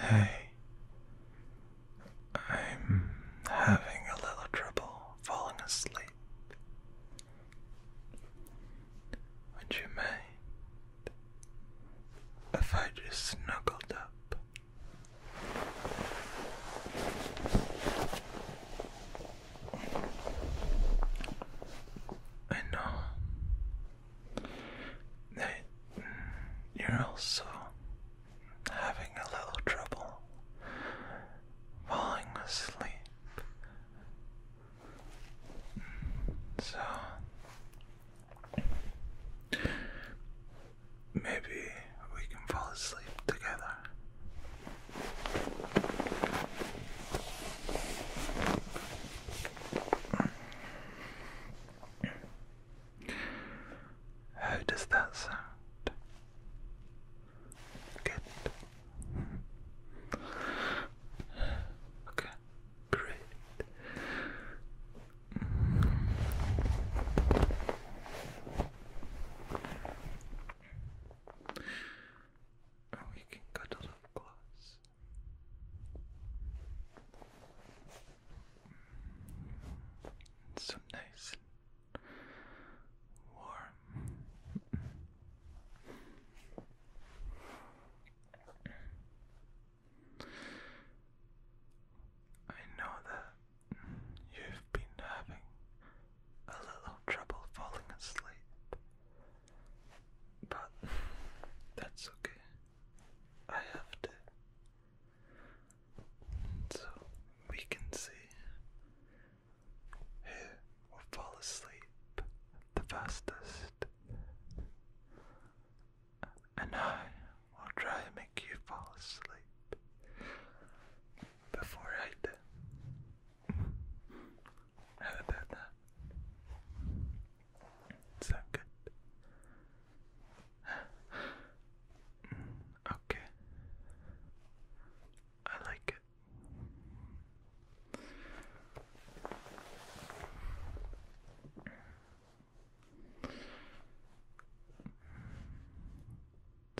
Hey, I'm having a little trouble falling asleep. Would you mind if I just snuggled up? I know that you're also having a little trouble falling asleep. So maybe we can fall asleep together. How does that sound? Good. Okay, great. Oh, you can cut a little glass. Some nice warm. I know that you've been having a little trouble falling asleep, but that's okay. I have to. So we can see who will fall asleep the fastest, and I will try and make you fall asleep before I do. How about that? Is that good? Mm, okay. I like it.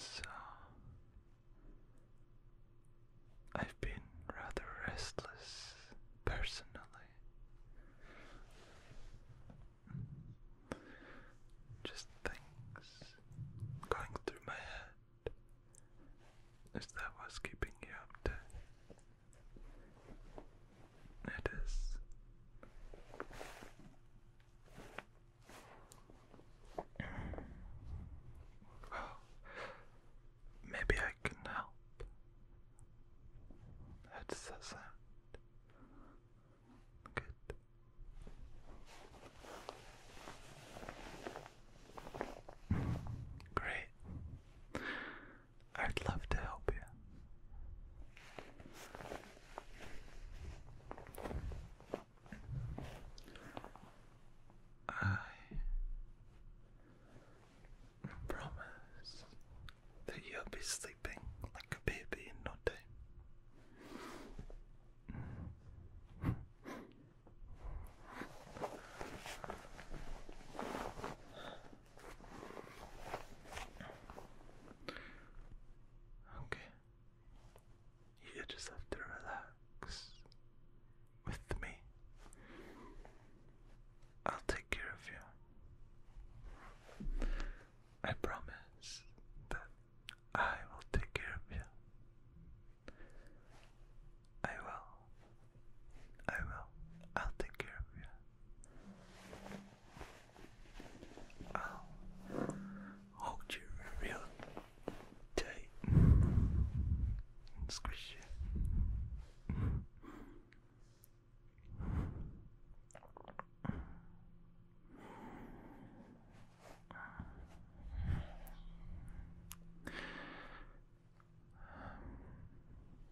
So I've been rather restless personally. Just things going through my head. Is that what's keeping you up to? It is. Well, maybe I can help. That's the sound. Good. Great. I'd love to help you. I promise that you'll be sleeping like a baby in no time. Okay. You just have to relax with me. I'll take care of you. I promise that I will take care of you. I will. I will. I'll take care of you. I'll hold you real tight and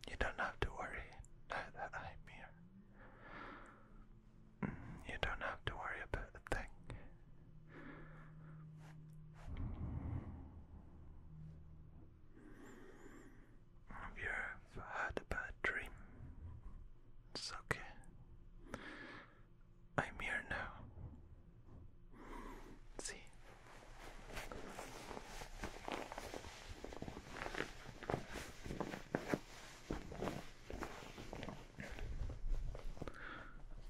you don't have to worry now that I'm mm, here. You don't have to worry about a thing. If you've had a bad dream, it's okay. I'm here now. See?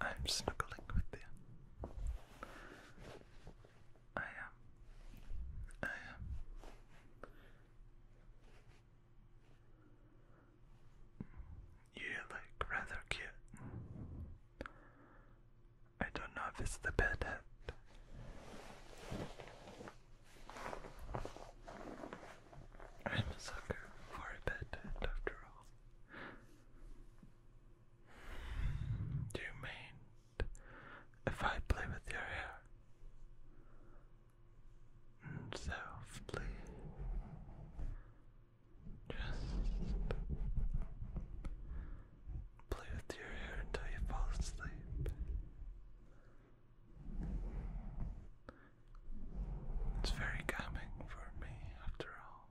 I'm snuggling with you. I am. I am. You look rather cute. I don't know if it's the bed I'm a sucker for a bed after all. Do you mind if I play with your hair? Mm, Softly. Just play with your hair until you fall asleep. It's very calming for me after all.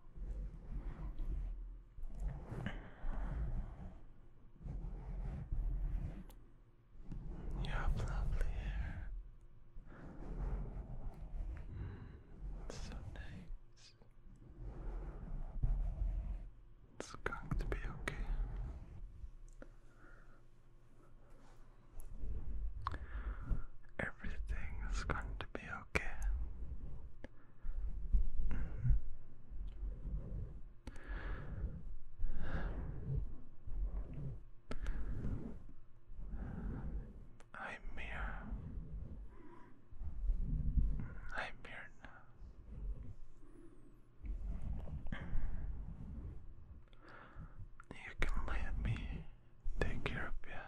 You have lovely hair. Mm, so nice. It's going to be okay. Everything is going to be okay. Mm-hmm. I'm here. I'm here now. You can let me take care of you.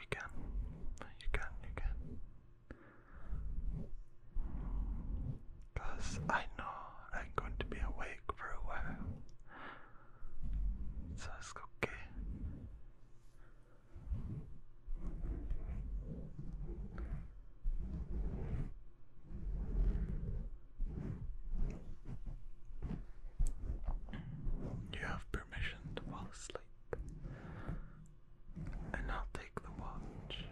You can. You can. You can. I know I'm going to be awake for a while. Sasuke. You have permission to fall asleep. And I'll take the watch.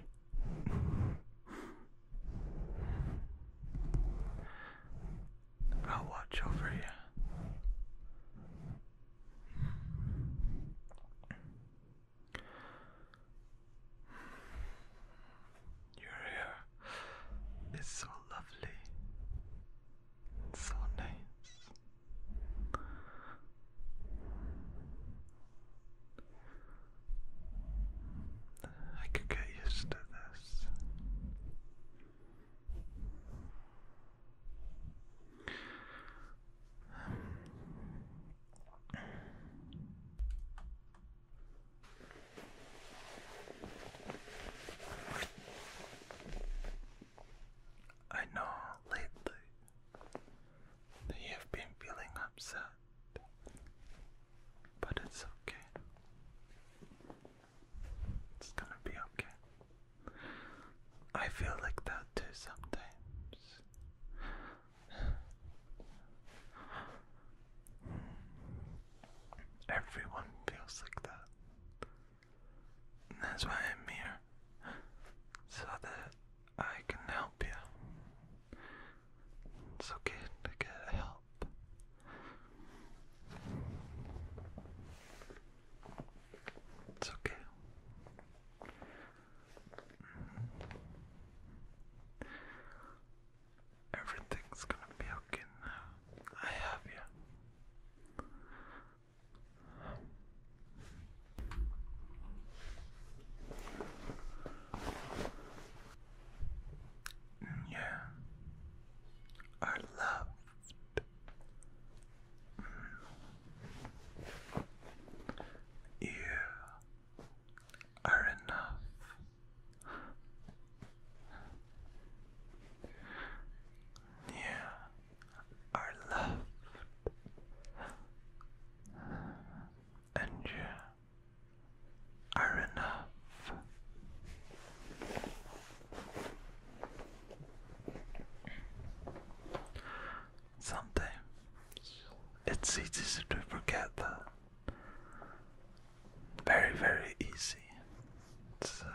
I'll watch over you. Your hair is so lovely, so nice. I could get used to this. I know lately that you've been feeling upset, but it's okay. It's gonna be okay. I feel like that too sometimes. Everyone feels like that. that's why I'm here. So that I can help you. It's okay to get help. It's okay. Mm-hmm. Everything's gonna be okay I have you. Yeah, our love you are enough. You are loved. And you are enough. Sometimes it's easy to forget that. Very, very easy. So,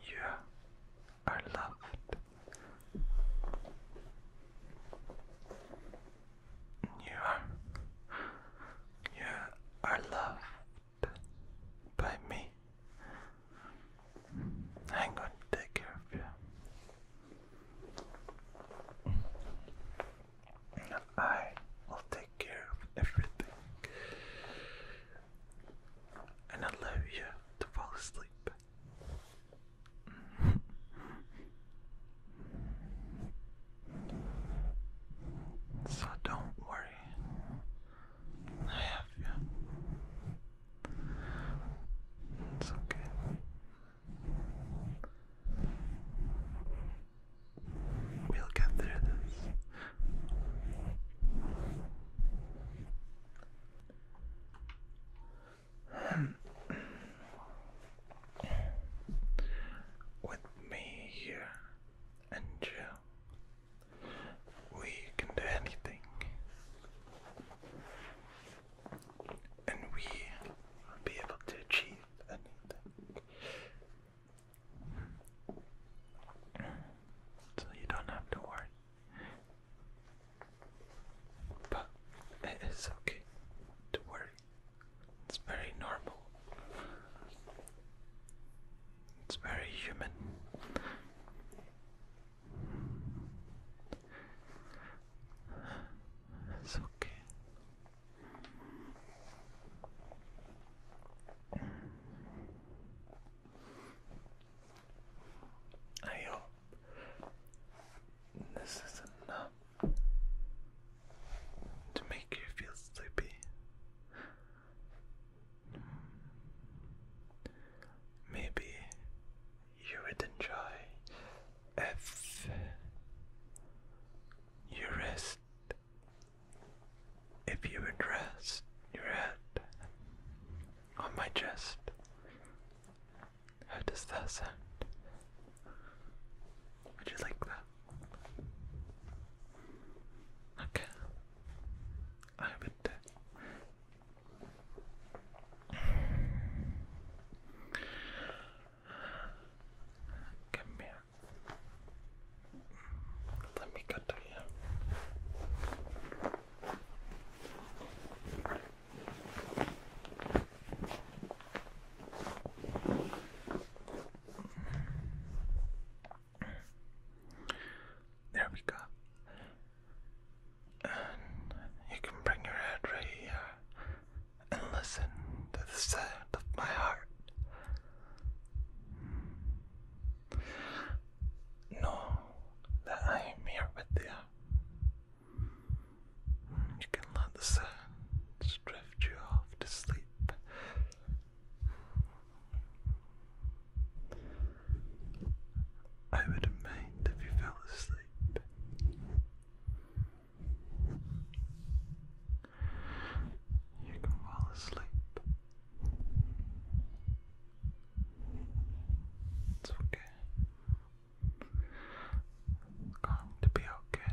you are loved. You are, you are loved by me. I'm going to take care of you. I will take care of everything. And allow you to fall asleep. So don't worry. I have you. It's okay. We'll get through this. With me here and you, we can do anything. And we will be able to achieve anything. So you don't have to worry. But it is okay to worry. It's very normal. It's very human. It's okay. I this is enough to make you feel sleepy. Maybe you would enjoy if you rest, if you would rest your head on my chest. How does that sound? Would you like that? Okay. I would. Come here. Let me go to you. There we go. you can bring your head right here and listen to the sound of my heart. Know that I am here with you. You can let the sounds drift you off to sleep I wouldn't mind if you fell asleep. You can fall asleep. It's okay. It's going to be okay.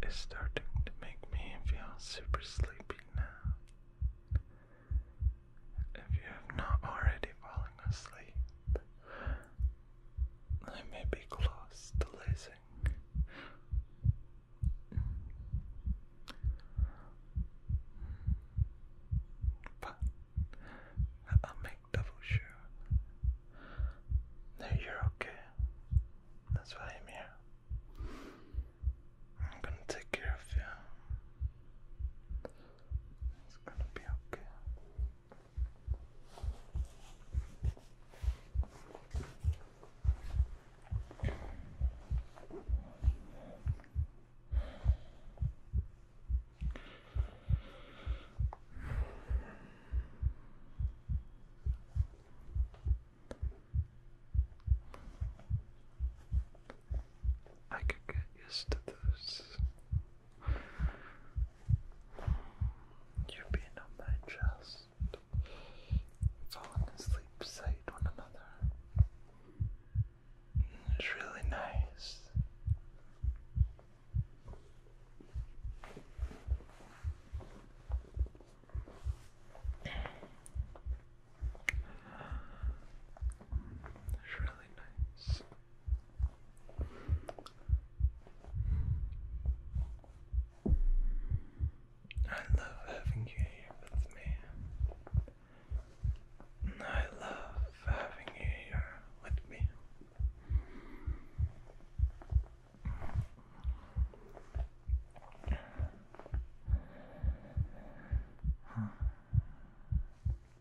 This is starting to make me feel super sleepy now. If you have not already fallen asleep, I may be close to losing, but I'll make double sure that you're okay. That's why I'm here. I'm gonna take care of you. It's gonna be okay. I could get used to this you are being on my chest, falling asleep beside one another. It's really nice. It's really nice. I love having you here with me. I love having you here with me.